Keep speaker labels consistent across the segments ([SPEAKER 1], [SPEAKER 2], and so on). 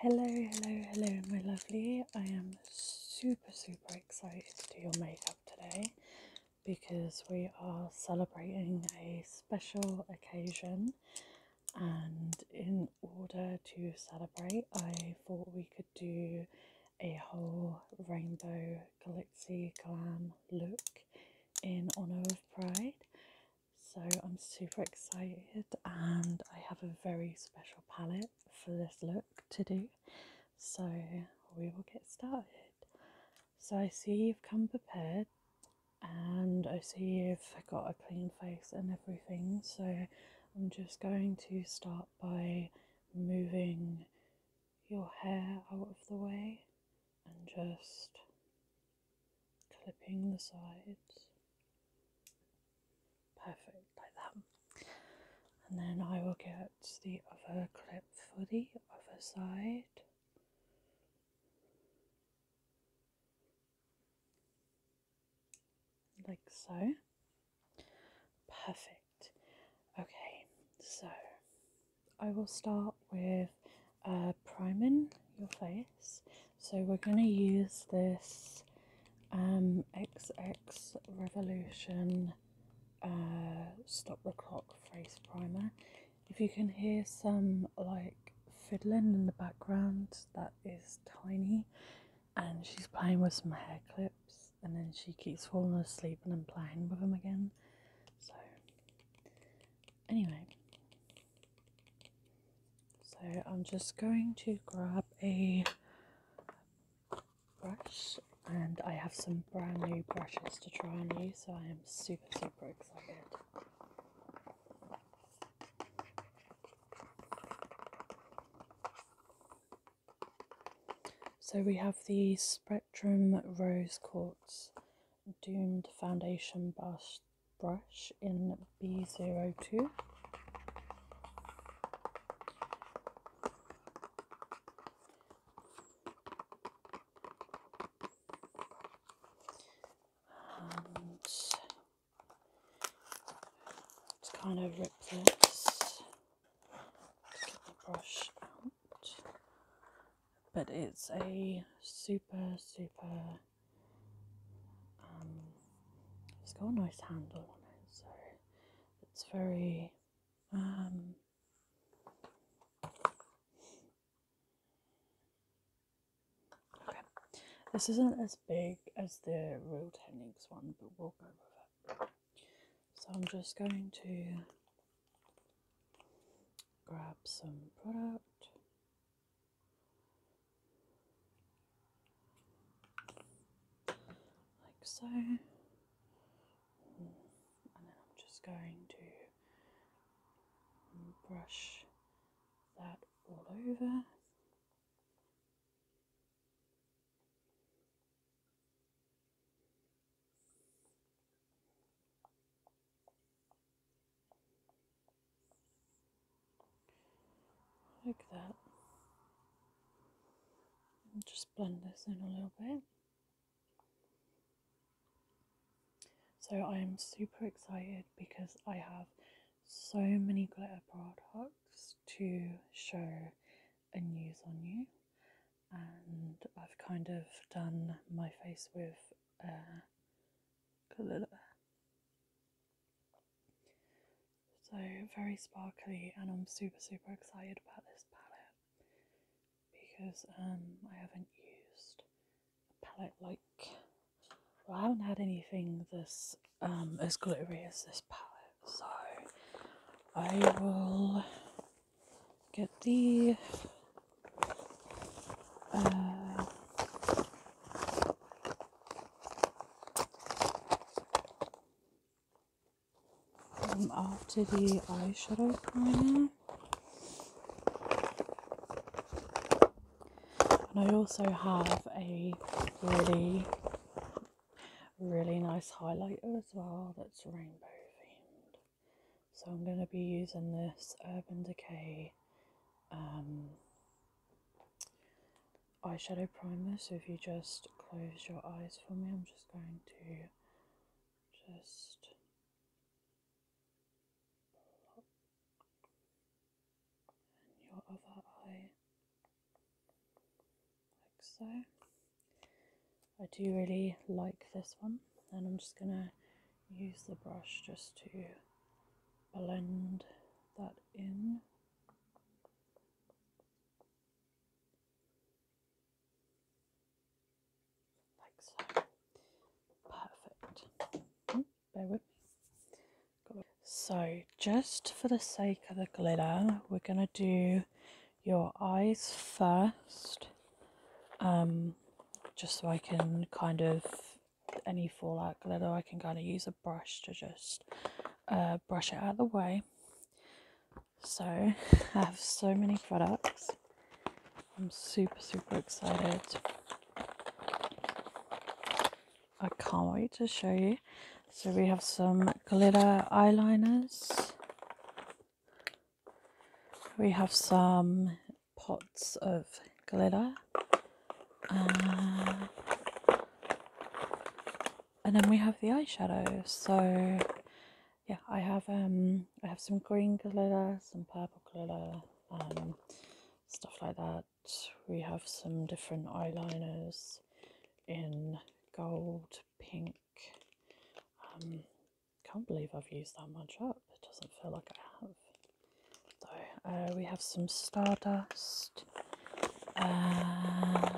[SPEAKER 1] Hello, hello, hello, my lovely. I am super, super excited to do your makeup today because we are celebrating a special occasion. And in order to celebrate, I thought we could do a whole rainbow galaxy glam look in honor of Pride. So I'm super excited and I have a very special palette for this look to do. So we will get started. So I see you've come prepared and I see you've got a clean face and everything. So I'm just going to start by moving your hair out of the way and just clipping the sides. Perfect, like that. And then I will get the other clip for the other side. Like so. Perfect. Okay, so I will start with uh, priming your face. So we're going to use this um, XX Revolution uh, Stop the Clock Face Primer. If you can hear some like fiddling in the background, that is Tiny and she's playing with some hair clips and then she keeps falling asleep and then playing with them again. So anyway, so I'm just going to grab a brush and I have some brand new brushes to try and use. so I am super, super excited. So we have the Spectrum Rose Quartz Doomed Foundation Brush brush in B02. And just kind of rip this brush out. But it's a super, super it's got a nice handle on it, so it's very um, okay. This isn't as big as the real techniques one, but we'll go with it. So I'm just going to grab some product like so, and then I'm just going to brush that all over like that. And just blend this in a little bit. So I am super excited because I have so many glitter products to show and use on you. And I've kind of done my face with uh, glitter so very sparkly, and I'm super super excited about this palette because um, I haven't used a palette like well, I haven't had anything this um, as glittery as this palette. So I will get the uh, I'm off to the eyeshadow primer. And I also have a really, really nice highlighter as well that's rainbow themed. So I'm going to be using this Urban Decay um, eyeshadow primer. So if you just close your eyes for me, I'm just going to just your other eye like so. I do really like this one, and I'm just gonna use the brush just to blend that in. Like so. Perfect. Hmm, bear with me. So, just for the sake of the glitter, we're going to do your eyes first. Um, just so I can kind of any fallout glitter I can kind of use a brush to just uh, brush it out of the way so I have so many products I'm super super excited I can't wait to show you so we have some glitter eyeliners we have some pots of glitter. Uh, and then we have the eyeshadows. So yeah, I have um I have some green glitter, some purple glitter, um, stuff like that. We have some different eyeliners in gold, pink. Um can't believe I've used that much up. It doesn't feel like I have. So uh, we have some stardust. Uh,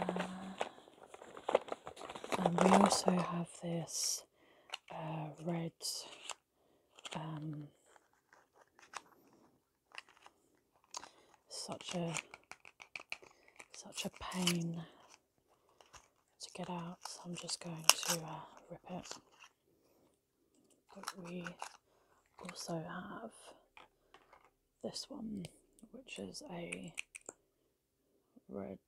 [SPEAKER 1] and we also have this uh, red um, such a such a pain to get out so I'm just going to rip it but we also have this one which is a red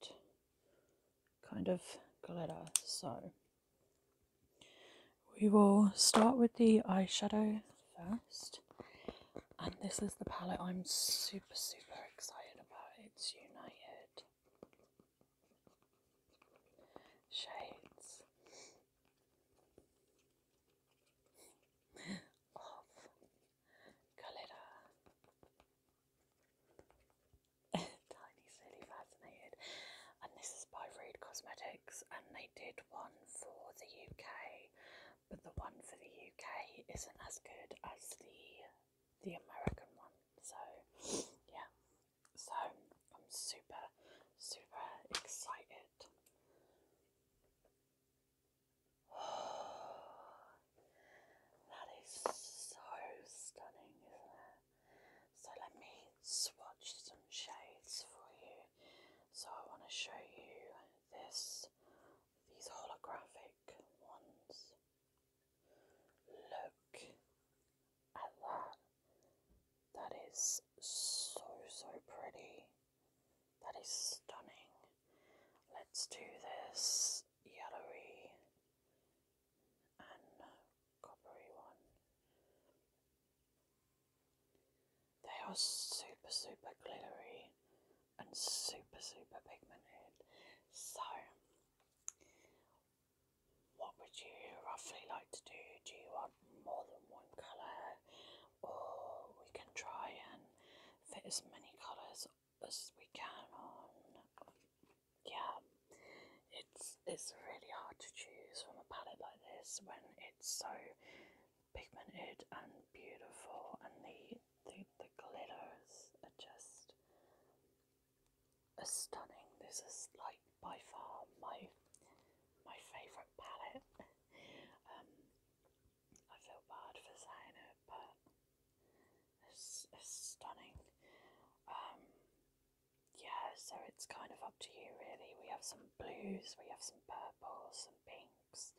[SPEAKER 1] kind of glitter so we will start with the eyeshadow first and this is the palette I'm super super excited about it's United Shades of Galera. Tiny Silly Fascinated. And this is by Rude Cosmetics, and they did one for the UK, but the one for the UK isn't as good as the the American one. So yeah, so I'm super, super excited. that is so stunning, isn't it? So let me swatch some shades for you. So I want to show you this, these holographic ones. Look Allah. That is so, so pretty. That is stunning. Let's do this yellowy and coppery one. They are super, super glittery and super, super pigmented. So, what would you roughly like to do? Do you want more than one colour, or we can try and fit as many colours as we can on. Yeah, it's it's really hard to choose from a palette like this when it's so pigmented and beautiful, and the the, the glitters are just stunning. This is like by far my my favourite palette. um, I feel bad for saying it, but it's, stunning. Um, yeah, so it's kind of up to you really. We have some blues, we have some purples, some pinks,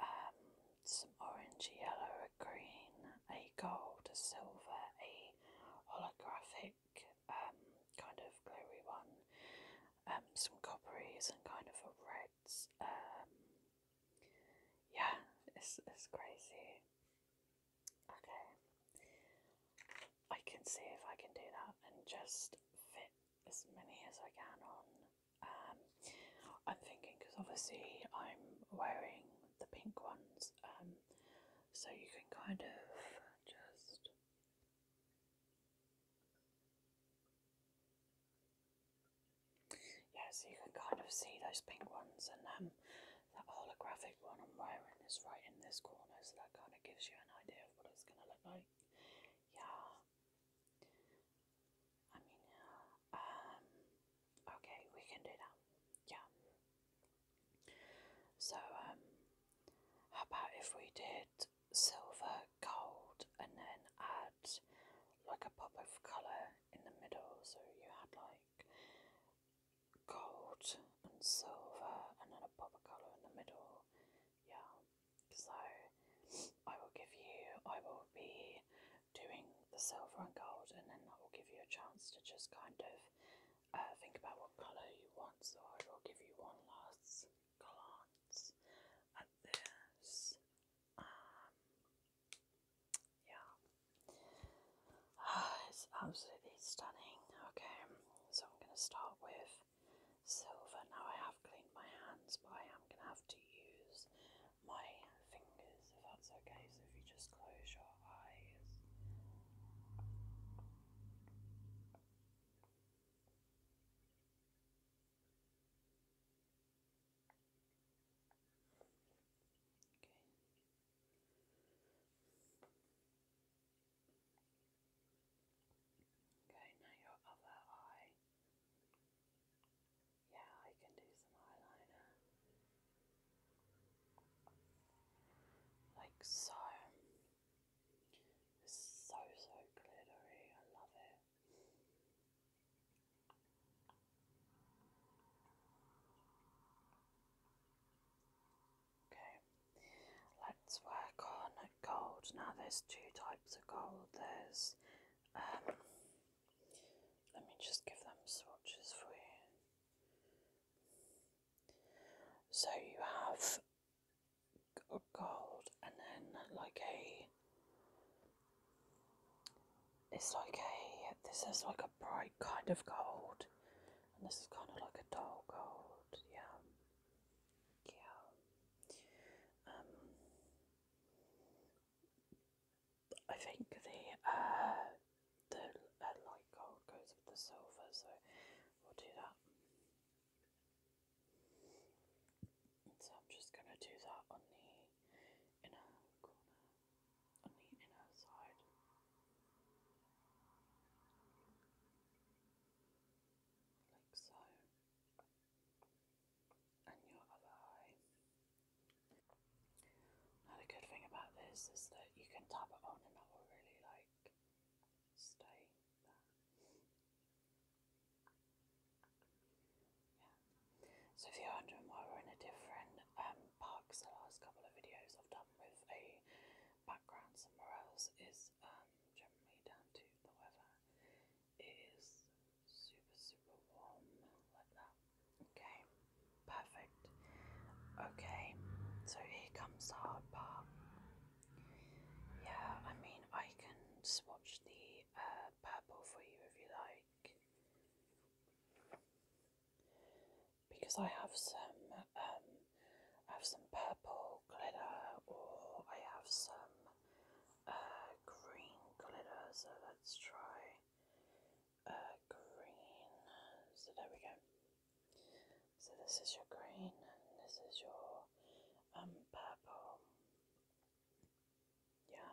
[SPEAKER 1] um, some orange, yellow, a green, a gold, a silver, a holographic um, kind of glowy one, um, some copperies and kind of a reds. Um, yeah, it's, it's crazy. Okay, I can see if I can do that and just fit as many as I can on. Um, I'm thinking because obviously I'm wearing the pink ones, um, so you can kind of just yeah, so you can kind of see those pink ones and um, that holographic one I'm wearing is right in this corner, so that kind of gives you an idea of what it's going to look like. Yeah. I mean, um, okay, we can do that. Yeah. So, um, how about if we did silver, gold, and then add like a pop of colour in the middle? So you had like gold and silver, and then a pop of colour in the middle. Yeah. So I will give you, I will be doing the silver and gold, and then that will give you a chance to just kind of uh, think about what colour you want, so I will give you one last glance at this. Um, yeah, uh, it's absolutely stunning. Okay, so I'm going to start with silver. Now I have cleaned my hands, but I am going to have to use my fingers if that's okay. So if you just close your eyes. Okay, now your other eye. Yeah, I can do some eyeliner. Like so so, so glittery. I love it. Okay, let's work on gold. Now, there's two types of gold. There's, um, let me just give them swatches for you. So, you have gold, and then like a. It's like a. This is like a bright kind of gold, and this is kind of like a dull gold. Yeah. Yeah. Um. I think the uh, the uh, light gold goes with the silver, so we'll do that. So I'm just going to do that on the inner corner, on the inner side. Like so. And your other eye. Another good thing about this is that you can tap it on and that will really like stay yeah. So if you're wondering why we're in a different box, um, the last couple of videos I've done with a background somewhere else is um, me down to the weather. It is super, super warm like that. Okay, perfect. Okay, so here comes our hard yeah, I mean, I can swatch the uh, purple for you if you like. Because I have some, um, I have some purple glitter, or I have some uh, green glitter. So let's try uh, green. So there we go. So this is your green and this is your um purple. Yeah.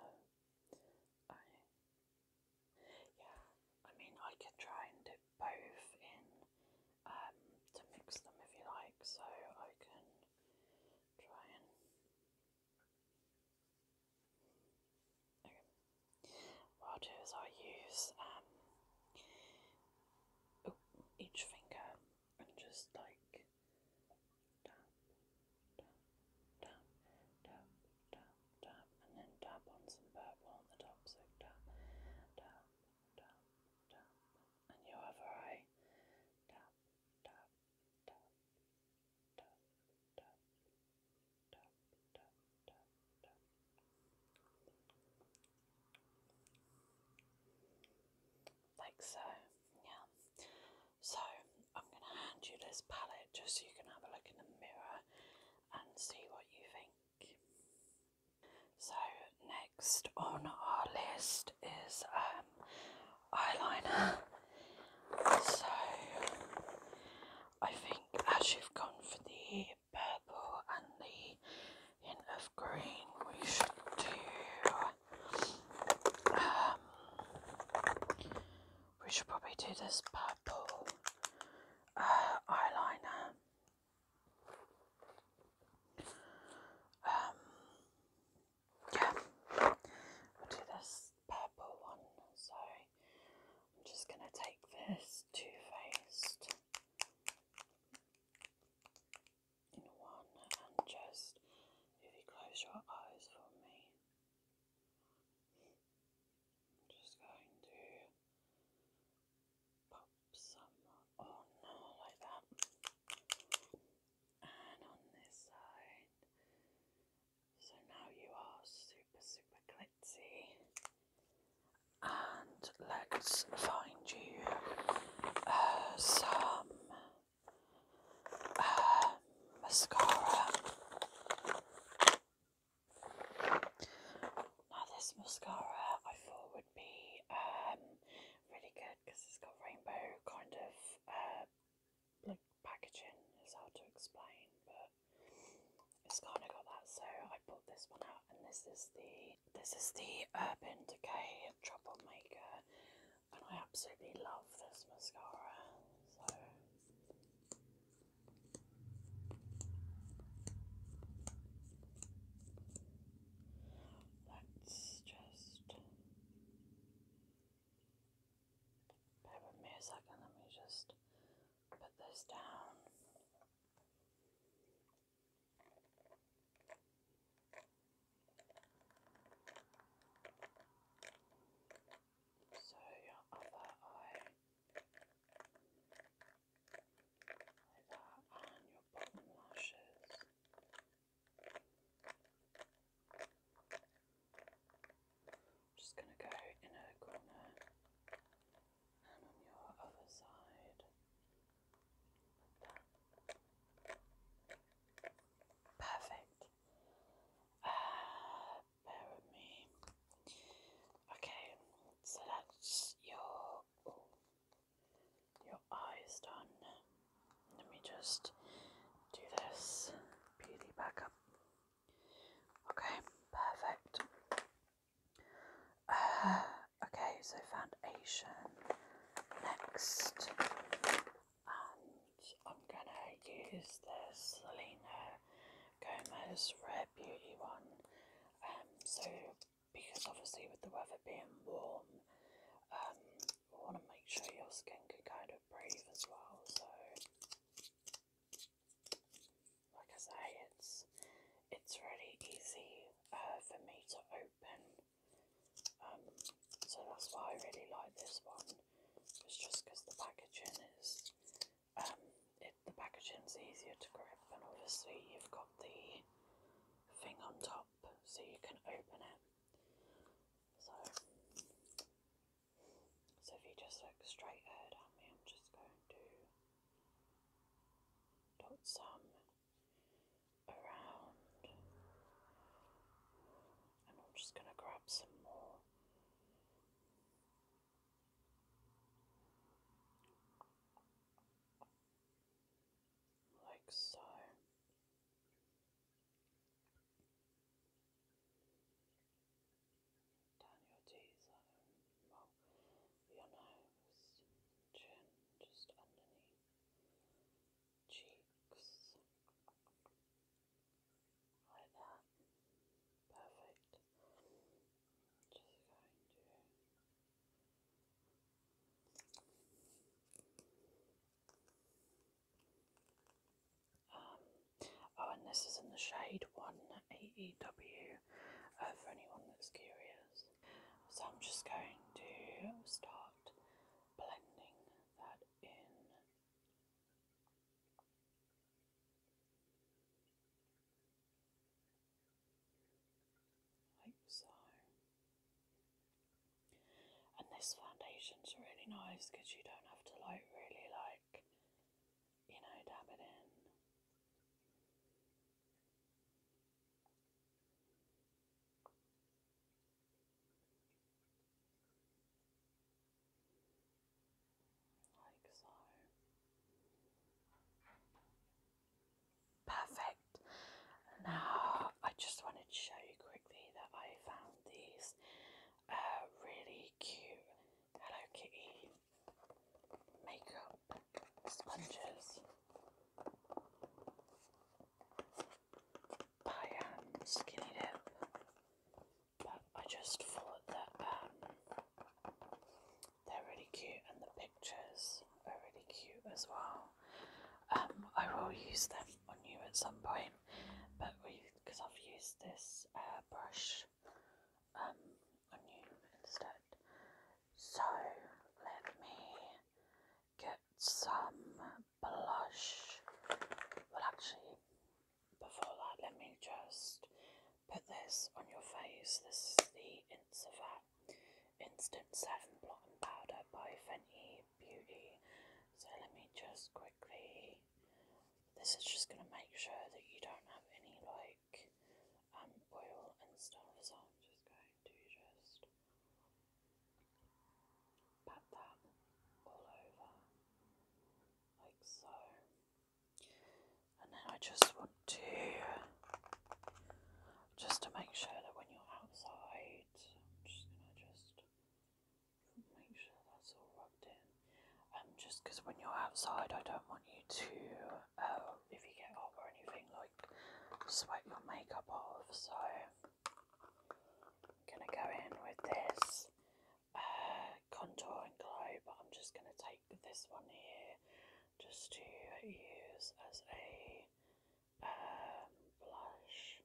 [SPEAKER 1] I yeah, I mean I could try and do both in um to mix them if you like, so I can try and Okay. What i i use um each finger and just like tap, tap, tap, tap, tap, tap, and then tap on some purple on the top. So tap, tap, tap, tap, and your other eye tap, tap, tap, tap, tap, tap, tap, tap, tap. Like so, yeah. So I'm going to hand you this palette just so you can have a look in the mirror and see what you think. So next on our list is um, eyeliner. So I think as you've gone for the purple and the hint of green we should do um, we should probably do this purple uh, eyeliner um, yeah we'll do this purple one Sorry, I'm just gonna take this Too faced in one and just if you close your eyes for me. just going to pop some on like that. And on this side. So now you are super super glitzy and let's find you uh, some uh, mascara. Now, this mascara I thought would be um, really good because it's got rainbow kind of uh, packaging. It's hard to explain, but it's kind of got that. So I bought this one out and this is the this is the Urban Decay Troublemaker, and I absolutely love this mascara so let's just bear me a second let me just put this down so your other eye like that and your bottom lashes. just gonna go in a corner and on your other side. Perfect. Uh, bear with me. Okay, so that's your your eyes done. Let me just do this. Beauty back Okay, perfect. okay, so foundation next, and I'm gonna use this Selena Gomez Red Beauty one. Um, so because obviously with the weather being warm, um, want to make sure your skin can kind of breathe as well. So, like I say, it's it's really easy uh, for me to open. Um, so that's why I really like this one. It's just because the packaging is, um, it, the packaging's easier to grip, and obviously you've got the thing on top, so you can open it. So, so if you just look straight ahead at me, I'm just going to dot some around. And I'm just going to grab some more. Like so. Down your T zone, well, your nose, just underneath cheeks, like that. Perfect. Just going to. Um, oh, and this is in the shade 1AEW uh, for anyone that's curious. So I'm just going to start blending that in. Like so. And this foundation's really nice because you don't have to like really like you know dab it in. Like so. Perfect. Now, I just wanted to show you quickly that I found these uh, really cute Hello Kitty makeup sponges by Skinny Dip, but I just thought that um, they're really cute and the pictures are really cute as well. Um, I will use them on you at some point, but because I've used this uh, um, on you instead. So let me get some blush. Well, actually, before that, let me just put this on your face. This is the Instafat Instant Seven Blotting Powder by Fenty Beauty. So let me just quickly. This is just going to make sure that you don't have any like oil and stuff, so I'm just going to just pat that all over, like so. And then I just want to, just to make sure that when you're outside, I'm just going to just make sure that's all rubbed in. Um, just because when you're outside, I don't want you to um, if you get hot or anything, like swipe your makeup off. So I'm gonna go in with this uh, contour and glow, but I'm just gonna take this one here just to use as a um, blush.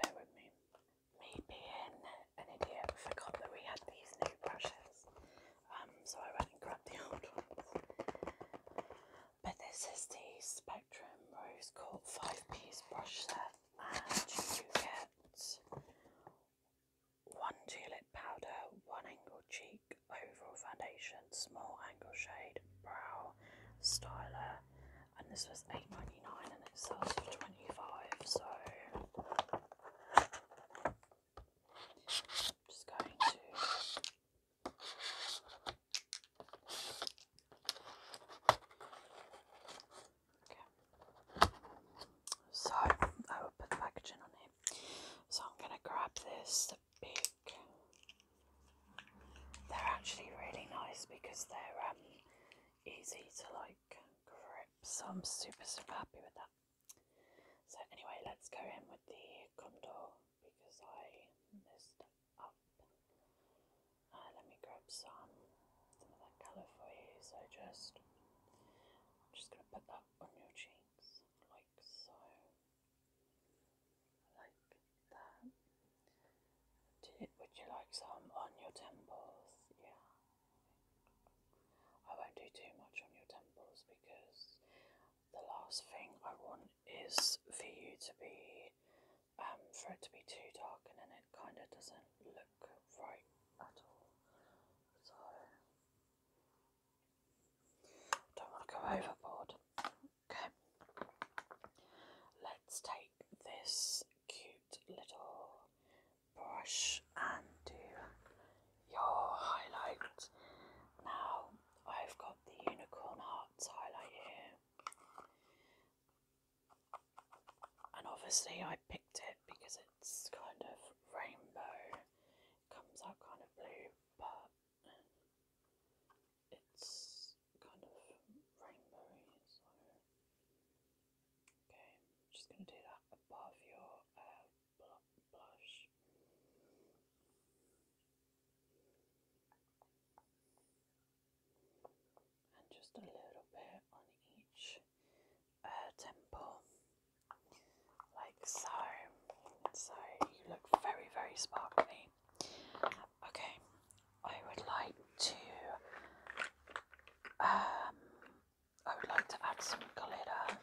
[SPEAKER 1] Bear with me. Me being an idiot, forgot that we had these new brushes. Um, so I went and grabbed the old ones. But this is the Spectrum Rose Court 5-piece brush set and you get one tulip powder, one angle cheek, overall foundation, small angle shade, brow, styler, and this was eight ninety nine, and it sells for 25 so just going to so I will put the packaging on here. So I'm gonna grab this, the big they're actually really nice because they're um, easy to like grip, so I'm super super happy with that. So anyway, let's go in with the condor because I messed up. Uh, let me grab some, some of that colour for you. So just, I'm just going to put that on your cheeks, like so, like that. would you like some on your temples? Yeah. I won't do too much on your temples because the last thing I want is for you to be, um, for it to be too dark and then it kind of doesn't look right at all. So, don't want to go overboard. Okay, let's take this cute little brush and do your highlight. Now, I've got the unicorn heart highlight here. And obviously I picked it because it's kind of rainbow. It comes out kind of blue, but it's kind of rainbowy, so okay, I'm just gonna do that above your uh, blush and just a little bit on each uh, temple, like so. So you look very, very sparkly. Okay, I would like to. Um, I would like to add some glitter.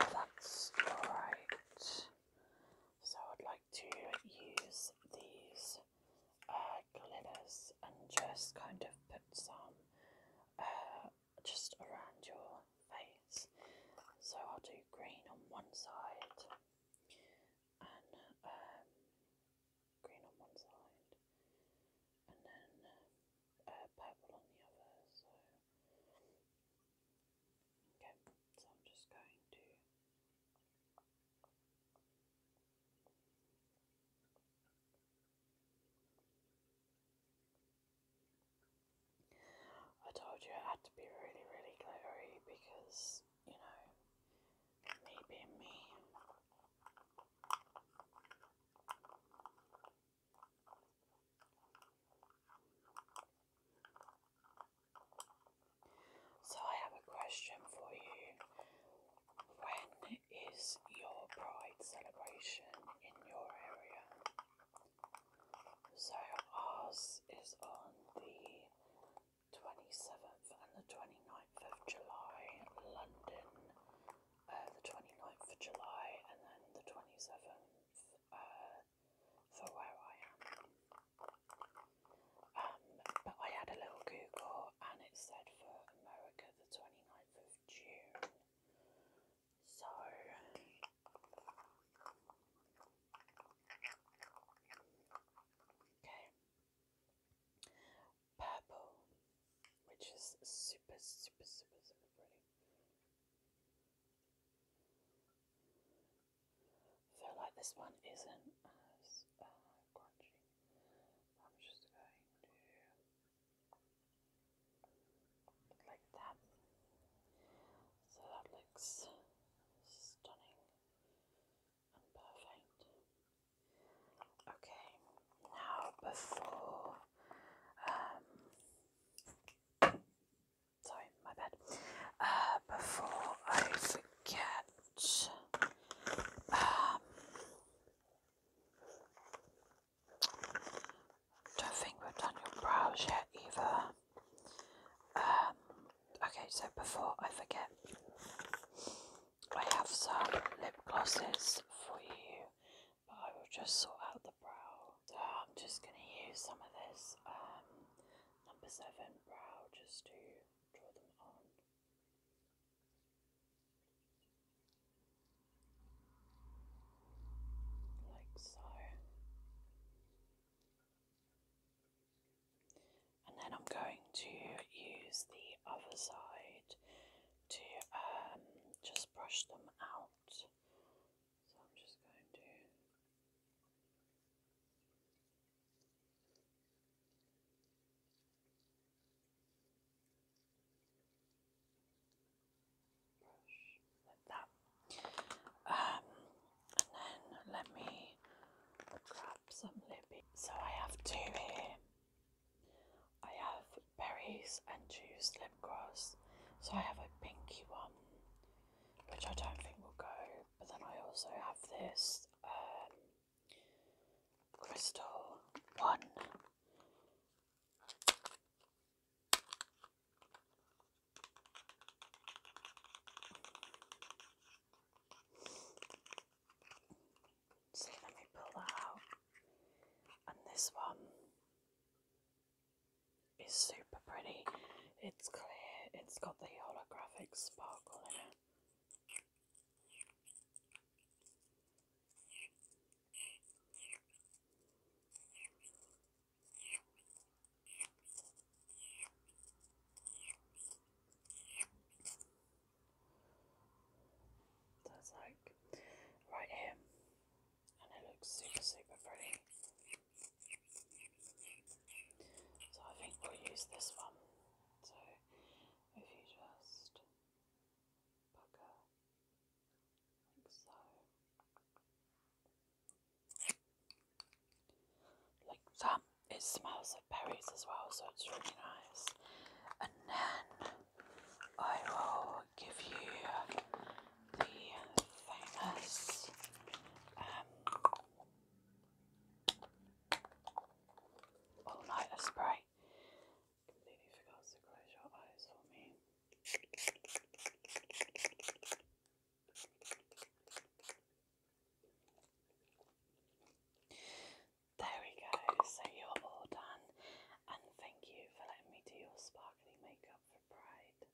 [SPEAKER 1] If that's alright. So I'd like to use these uh, glitters and just kind of put some uh, just around your face. So I'll do green on one side and um, green on one side and then uh, purple on the other. So Okay, so I'm just going to I told you it had to be really, really glittery because, you know, me being me. So I have a question for you. When is your pride celebration in your area? So ours is on the 27th and the 29th of July, London, uh, the 29th of July, and then the 27th, for where I am. Um, but I had a little Google and it said for America the 29th of June. So okay. Purple, which is super, super, super, super pretty feel like this one isn't as uh, crunchy. I'm just going to like that. So that looks stunning and perfect. Okay, now before um, Sorry, my bad. Uh, before I forget, um, don't think we've done your brows yet either. Um, okay, so before I forget, I have some lip glosses for you, but I will just sort out the brow powder. Oh, I'm just going to use some of this um, number seven brow just to draw them on. Like so. And then I'm going to use the other side to um, just brush them out so I'm just going to brush that. Um, and then let me grab some lippy. So I have two here. I have berries and juice lip gloss. So I have a pinky one which I don't think will go. But then I also have this um, crystal one. So let me pull that out. And this one it's super pretty. It's clear. It's got the holographic sparkle in it. That's like right here, and it looks super, super pretty. So I think we'll use this one. So if you just like so. Like that. It smells of berries as well, so it's really nice. And then I will give you the famous um, all nighter spray. There we go, so you're all done, and thank you for letting me do your sparkly makeup for Pride.